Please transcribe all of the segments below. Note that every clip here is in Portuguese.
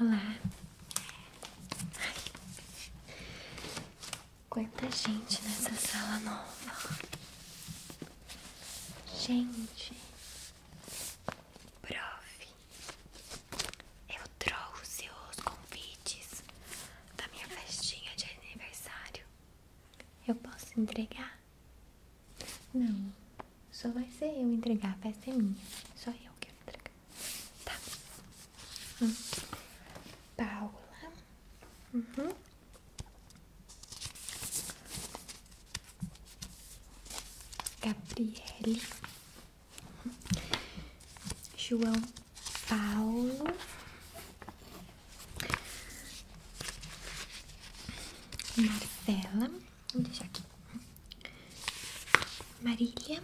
Olá. Ai. Quanta gente nessa sala nova. Gente. Prof. Eu trouxe os convites da minha festinha de aniversário. Eu posso entregar? Não. Só vai ser eu entregar, a festa é minha. Só eu quero entregar. Tá. Hum. Paula. Uhum. Gabriele. João Paulo. Marcela. Vou deixar aqui. Marília.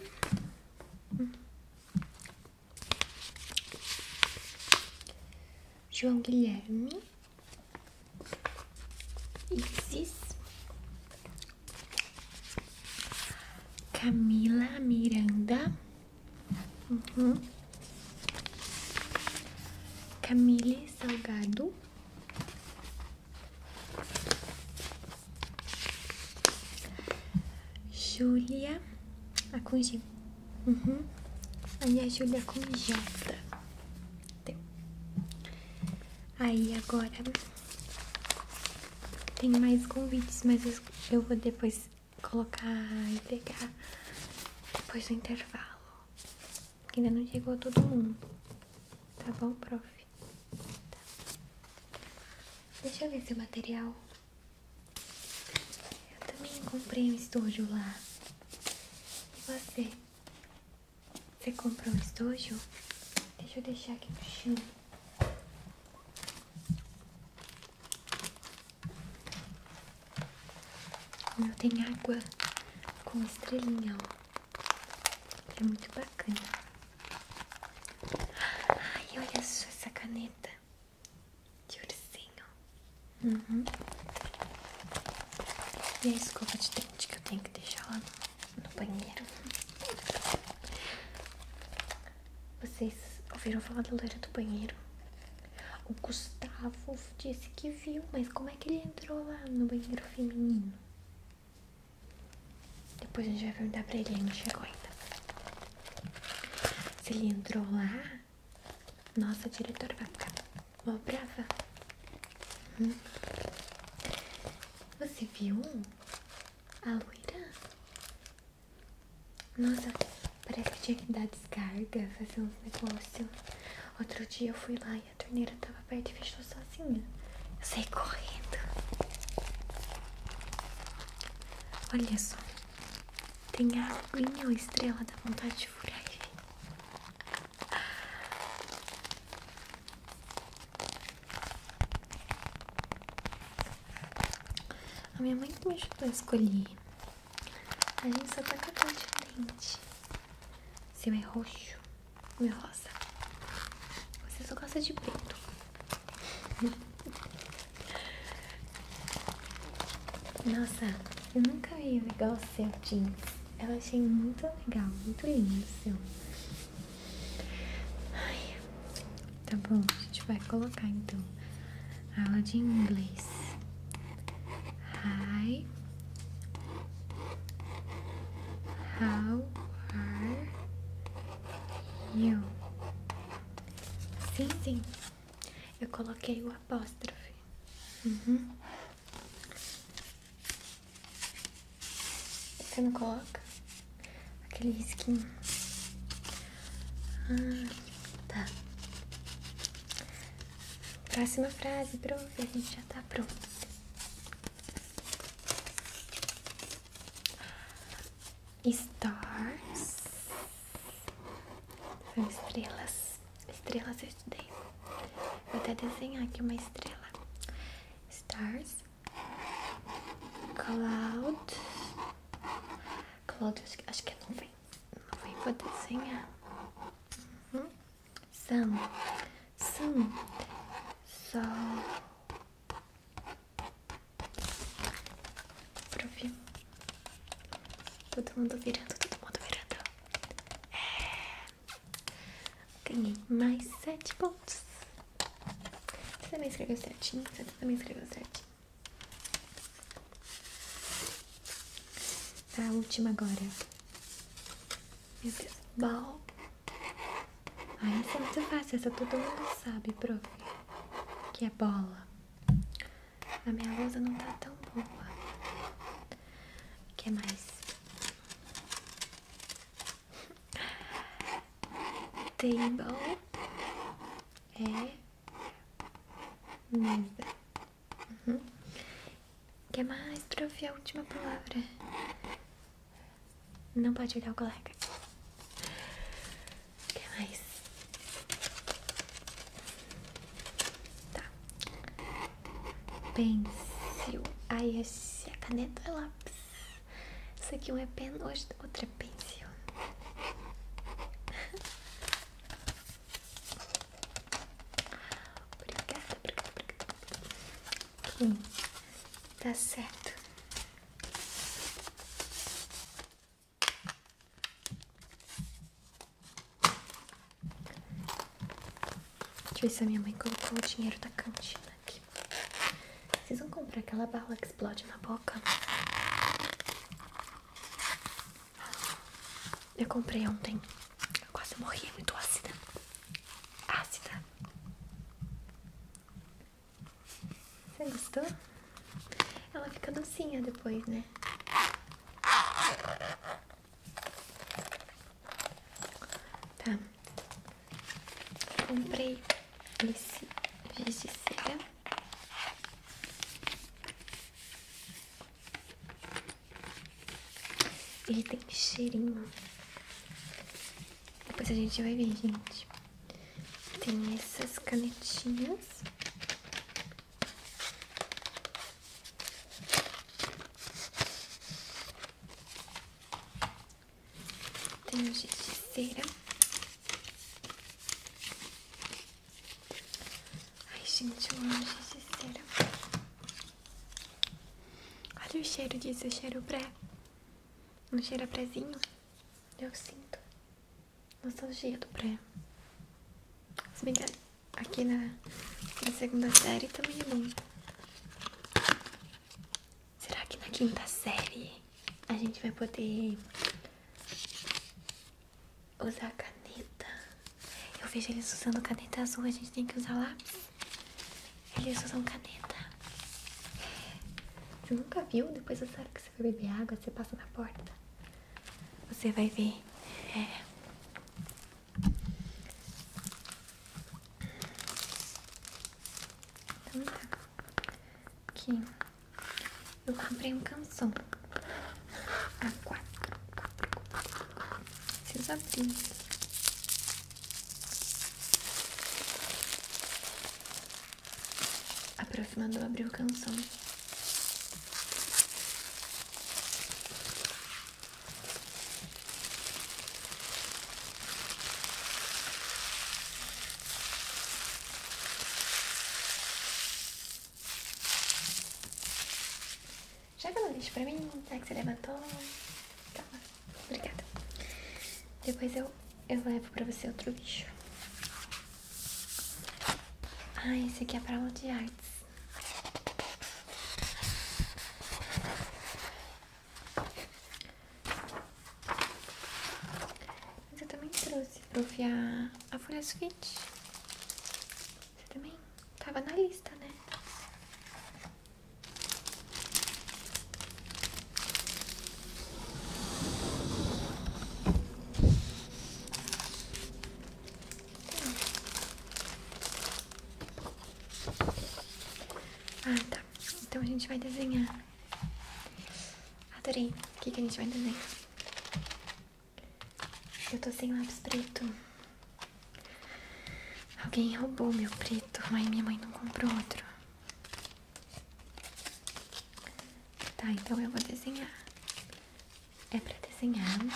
João Guilherme. Isis. Camila Miranda. Uhum. Camille Salgado. Júlia, a com G. Uhum. Aí a Júlia com J. Aí agora tem mais convites, mas eu vou depois colocar e pegar depois do intervalo. ainda não chegou todo mundo. Tá bom, prof? Tá. Deixa eu ver seu material. Eu também comprei um estojo lá. E você? Você comprou um estojo? Deixa eu deixar aqui no chão. O meu tem água com estrelinha, ó. É muito bacana. Ai, olha só essa caneta de ursinho. Uhum. E a escova de dente que eu tenho que deixar lá no, no banheiro. Vocês ouviram falar da loira do banheiro? O Gustavo disse que viu, mas como é que ele entrou lá no banheiro feminino? Depois a gente vai perguntar pra ele, ele não chegou ainda. Se ele entrou lá, nossa diretor vai ficar mó brava. Hum. Você viu a loira? Nossa, parece que tinha que dar descarga, fazer um negócio. Outro dia eu fui lá a torneira tava perto e fechou sozinha. Eu saí correndo. Olha só. Tem a aguinha ou estrela da vontade de furar. A minha mãe me ajudou a escolher. A gente só tá com a cor diferente. Seu é roxo, meu rosa. Você só gosta de pinto Nossa, eu nunca vi um igual seu jeans. Eu achei muito legal, muito lindo o seu. tá bom, a gente vai colocar então aula de inglês. Hi, How are Sim, sim. Eu coloquei o apóstrofe. Uhum. Você não coloca? Aquele risquinho. Ah, tá. Próxima frase, prove. A gente já tá pronto. Stars. São estrelas. Estrelas eu estudei. Vou até desenhar aqui uma estrela. Stars. Cloud. Cloud, acho que não vem. Não vem, vou desenhar. Uhum são, são, sol, profi, todo mundo virando, todo mundo virando, é, ganhei mais sete pontos, você também escreveu sete, você também escreveu certinho. A última agora. Meu Deus. Bal, ah, essa é muito fácil, essa todo mundo sabe, prof. Que é bola. A minha lousa não tá tão boa. O que mais? Table é mesa. O uhum. que mais, prof? A última palavra. Não pode olhar o colega. O que mais? Tá. Pencil. Ai, essa caneta é lápis. Isso aqui é um é pen, outro é pencil. Obrigada, obrigada, obrigada. Tá certo. Deixa eu ver se a minha mãe colocou o dinheiro da cantina aqui. Vocês vão comprar aquela bala que explode na boca? Eu comprei ontem. quase morri, é muito ácida. Ácida. Você gostou? Ela fica docinha depois, né? Tá. Comprei esse giz ele tem cheirinho. Depois a gente vai ver, gente. Tem essas canetinhas. Tem o giz Ai, gente, eu amo giz de cera. Olha o cheiro disso, o cheiro pré. Não cheira prézinho? Eu sinto. cheiro do pré. Se bem que aqui na, segunda série também tá é bom. Será que na quinta série a gente vai poder usar caneta? Eu vejo eles usando caneta azul, a gente tem que usar lá ele usa usam caneta. Você nunca viu? Depois da hora que você vai beber água, você passa na porta. Você vai ver. É. Então tá. Aqui. Eu comprei um canção. A quatro. Preciso abrir. Aproximando, abriu canção. Joga no lixo pra mim, tá? Que você levantou. Tá Obrigada. Depois eu, eu levo pra você outro lixo. Ah, esse aqui é pra aula de artes. Mas eu também trouxe pra ofiar a, a folha Você também? Tava na lista, né? Ah, tá. Então a gente vai desenhar. Adorei. O que, que a gente vai desenhar? Eu tô sem lápis preto. Alguém roubou meu preto, mas minha mãe não comprou outro. Tá, então eu vou desenhar. É pra desenhar. Né?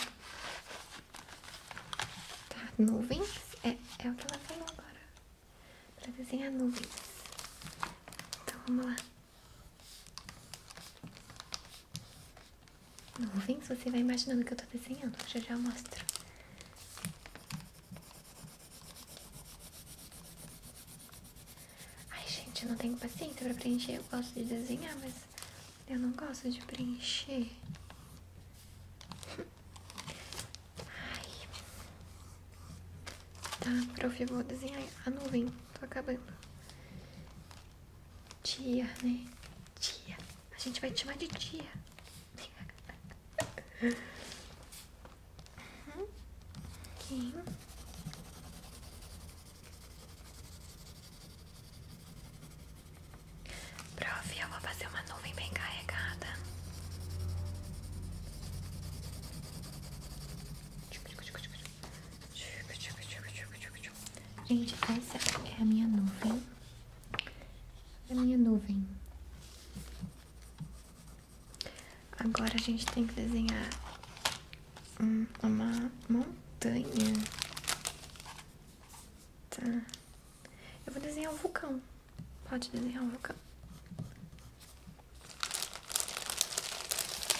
Tá, nuvens. É, é o que ela falou agora. Pra desenhar nuvens. Então vamos lá. Nuvens, você vai imaginando o que eu tô desenhando. Já já mostro. Ai, gente, eu não tenho paciente pra preencher. Eu gosto de desenhar, mas eu não gosto de preencher. Tá, prof, eu vou desenhar a nuvem. Tô acabando. Dia, né? Dia. A gente vai te chamar de dia. Uhum. Aqui. Prof, eu vou fazer uma nuvem bem carregada. Gente, essa é a minha nuvem a minha nuvem. Agora a gente tem que desenhar uma montanha. Tá. Eu vou desenhar um vulcão. Pode desenhar um vulcão.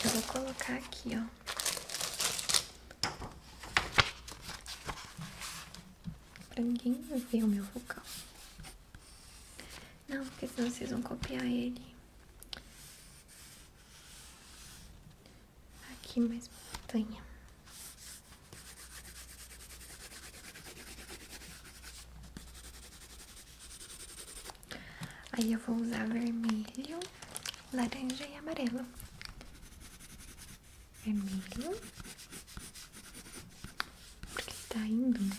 Eu vou colocar aqui, ó pra ninguém ver o meu vocal. Não, porque senão vocês vão copiar ele. Aqui mais montanha. Aí eu vou usar vermelho, laranja e amarelo vermelho, porque ele tá indo, né?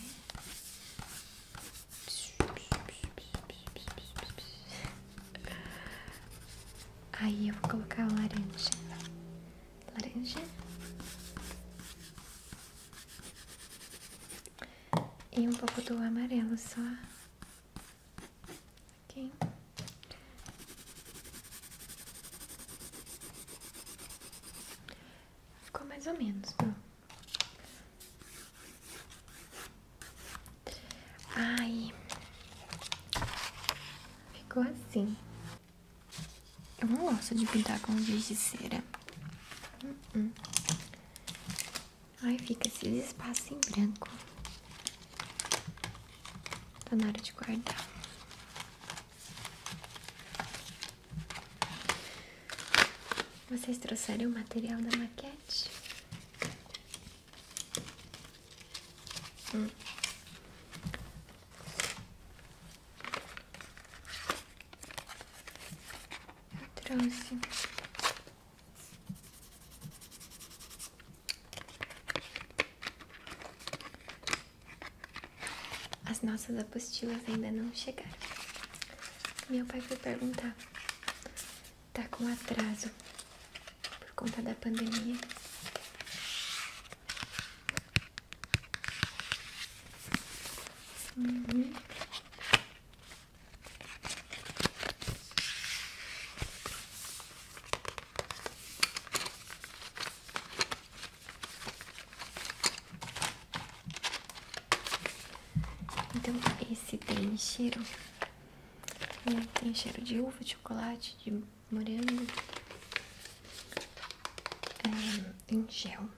Aí eu vou colocar o laranja, laranja e um pouco do amarelo só, ok? Ficou mais ou menos, Bruno. ai Ficou assim. Eu não gosto de pintar com giz uh-uh. ai fica esses espaços em branco. Tá na hora de guardar. Vocês trouxeram o material da maquete? Hum. Eu trouxe. As nossas apostilas ainda não chegaram. Meu pai foi perguntar. Tá com atraso por conta da pandemia. Uhum. Então, esse tem cheiro, hum, tem cheiro de uva, de chocolate, de morango, é, em gel.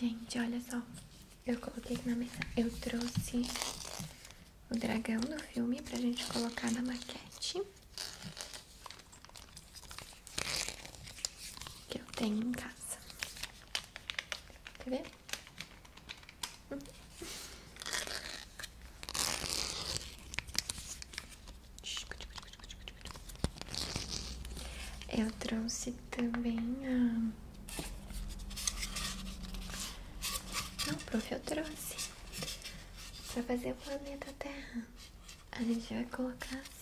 Gente, olha só. Eu coloquei na mesa. Eu trouxe o dragão do filme pra gente colocar na maquete. Que eu tenho em casa. Quer ver? Eu trouxe também a. Não, prof, eu trouxe. para fazer o planeta Terra. A gente vai colocar assim.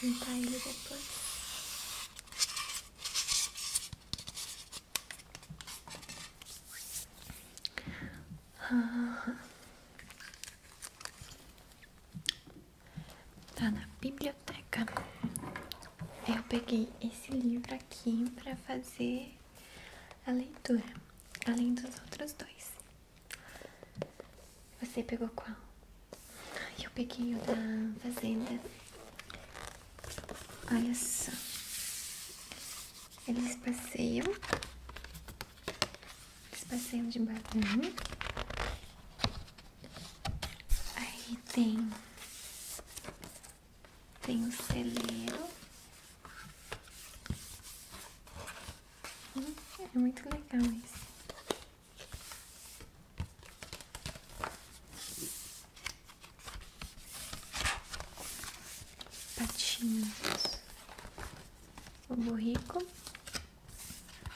Pintar ele depois. Ah, tá na biblioteca. Eu peguei esse livro aqui pra fazer a leitura, além dos outros dois. Você pegou qual? Eu peguei o da Fazenda. Olha só. Eles passeiam. Eles passeiam de balão. Aí tem tem o celeiro. Hum, é muito legal esse. Patinhos. O burrico.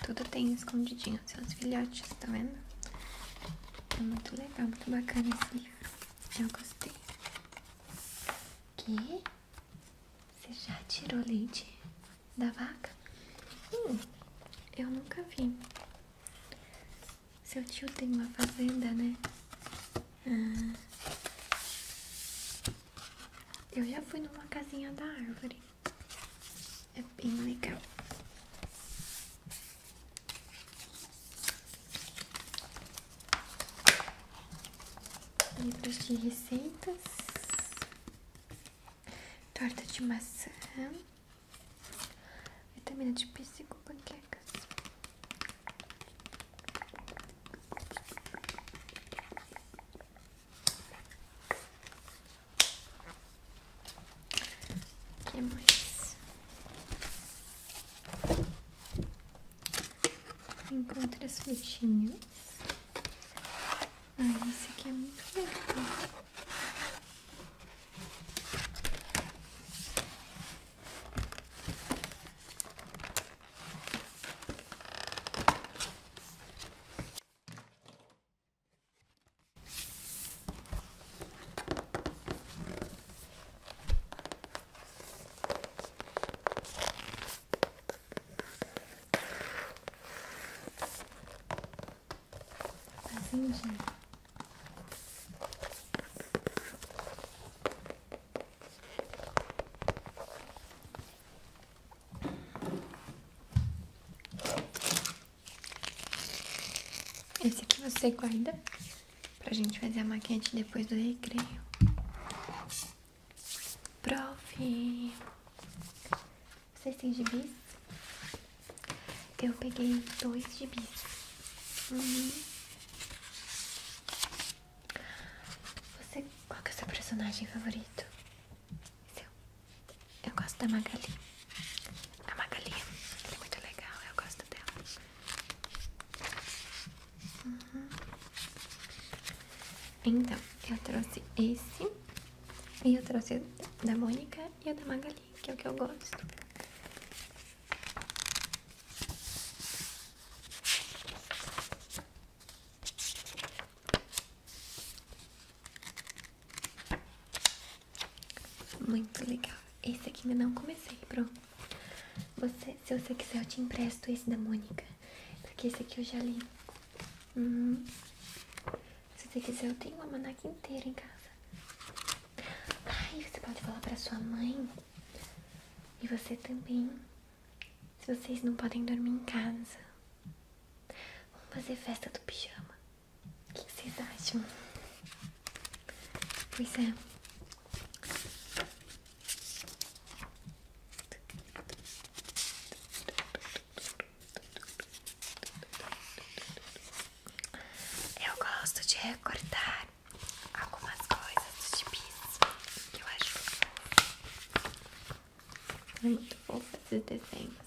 Tudo tem escondidinho, seus filhotes, tá vendo? É muito legal, muito bacana esse livro. Eu gostei. Que? Você já tirou leite da vaca? Hum, eu nunca vi. Seu tio tem uma fazenda, né? Ah, eu já fui numa casinha da árvore. É bem legal. Livros de receitas, torta de maçã, vitamina de pêssego, panquecas. O que mais? Encontre as frutinhas. Ah, esse aqui é muito legal. Assim, Esse aqui você guarda. Pra gente fazer a maquiagem depois do recreio. Prof. Vocês têm gibis? Eu peguei dois gibis. Uhum. Você, qual que é o seu personagem favorito? Seu. Eu gosto da Magali. A Magali é muito legal, eu gosto dela. Uhum. Então, eu trouxe esse. E eu trouxe o da Mônica e o da Magali, que é o que eu gosto. Muito legal. Esse aqui ainda não comecei, pronto se você quiser, eu te empresto esse da Mônica. Porque esse aqui eu já li. Uhum. Se você quiser, eu tenho uma manaca inteira em casa. Ai, você pode falar pra sua mãe. E você também. Se vocês não podem dormir em casa. Vamos fazer festa do pijama. O que vocês acham? Pois é. Eu gosto de recortar algumas coisas de piso que eu acho fofo. É muito fofo esses desenhos.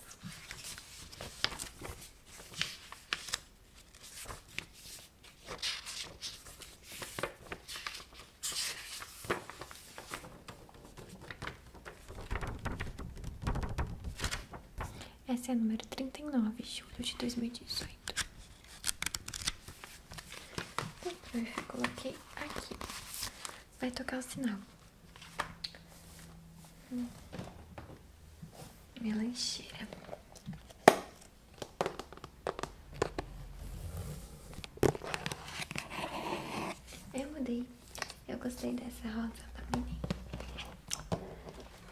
Essa é a número de julho de dois 2018. Então, eu coloquei aqui. Vai tocar o sinal. Melanchinha. Hum. Eu mudei. Eu gostei dessa rosa da tá Minnie.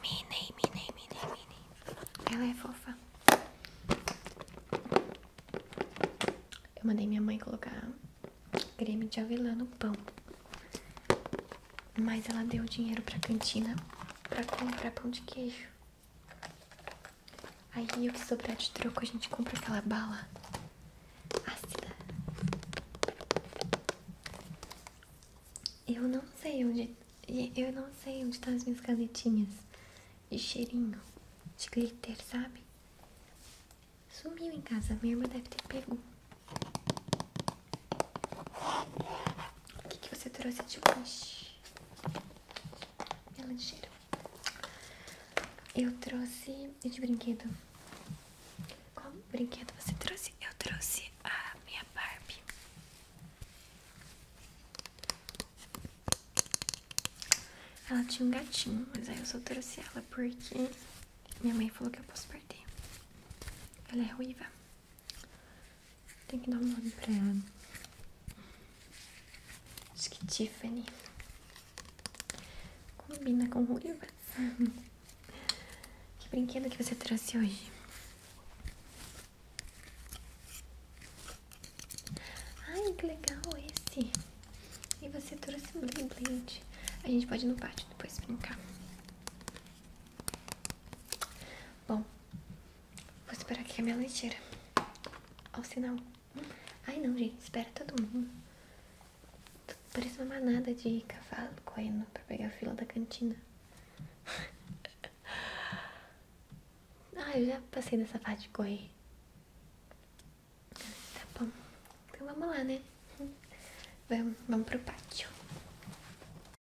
Minnie, Minnie, Minnie, Minnie. Ela é fofa. Eu mandei minha mãe colocar creme de avelã no pão. Mas ela deu o dinheiro pra cantina pra comprar pão de queijo. Aí o que sobrar de troco a gente compra aquela bala ácida. Eu não sei onde. Eu não sei onde estão tá as minhas canetinhas de cheirinho, de glitter, sabe? Sumiu em casa, minha irmã deve ter pego. O que, que você trouxe de lanche? ela É cheiro Eu trouxe de brinquedo. Qual brinquedo você trouxe? Eu trouxe a minha Barbie. Ela tinha um gatinho, mas aí eu só trouxe ela porque minha mãe falou que eu posso perder. Ela é ruiva. Tem que dar um nome pra ela. Acho que Tiffany. Combina com o ruiva. que brinquedo que você trouxe hoje? Ai, que legal esse. E você trouxe o bling blend. A gente pode ir no pátio depois brincar. Bom, Vou esperar aqui a minha leiteira. Ao sinal. Ai não, gente, espera todo mundo. Parece uma manada de cavalo correndo pra pegar a fila da cantina. Ai ah, eu já passei dessa parte de correr. Tá bom. Então vamos lá, né? Vamos, vamos pro pátio.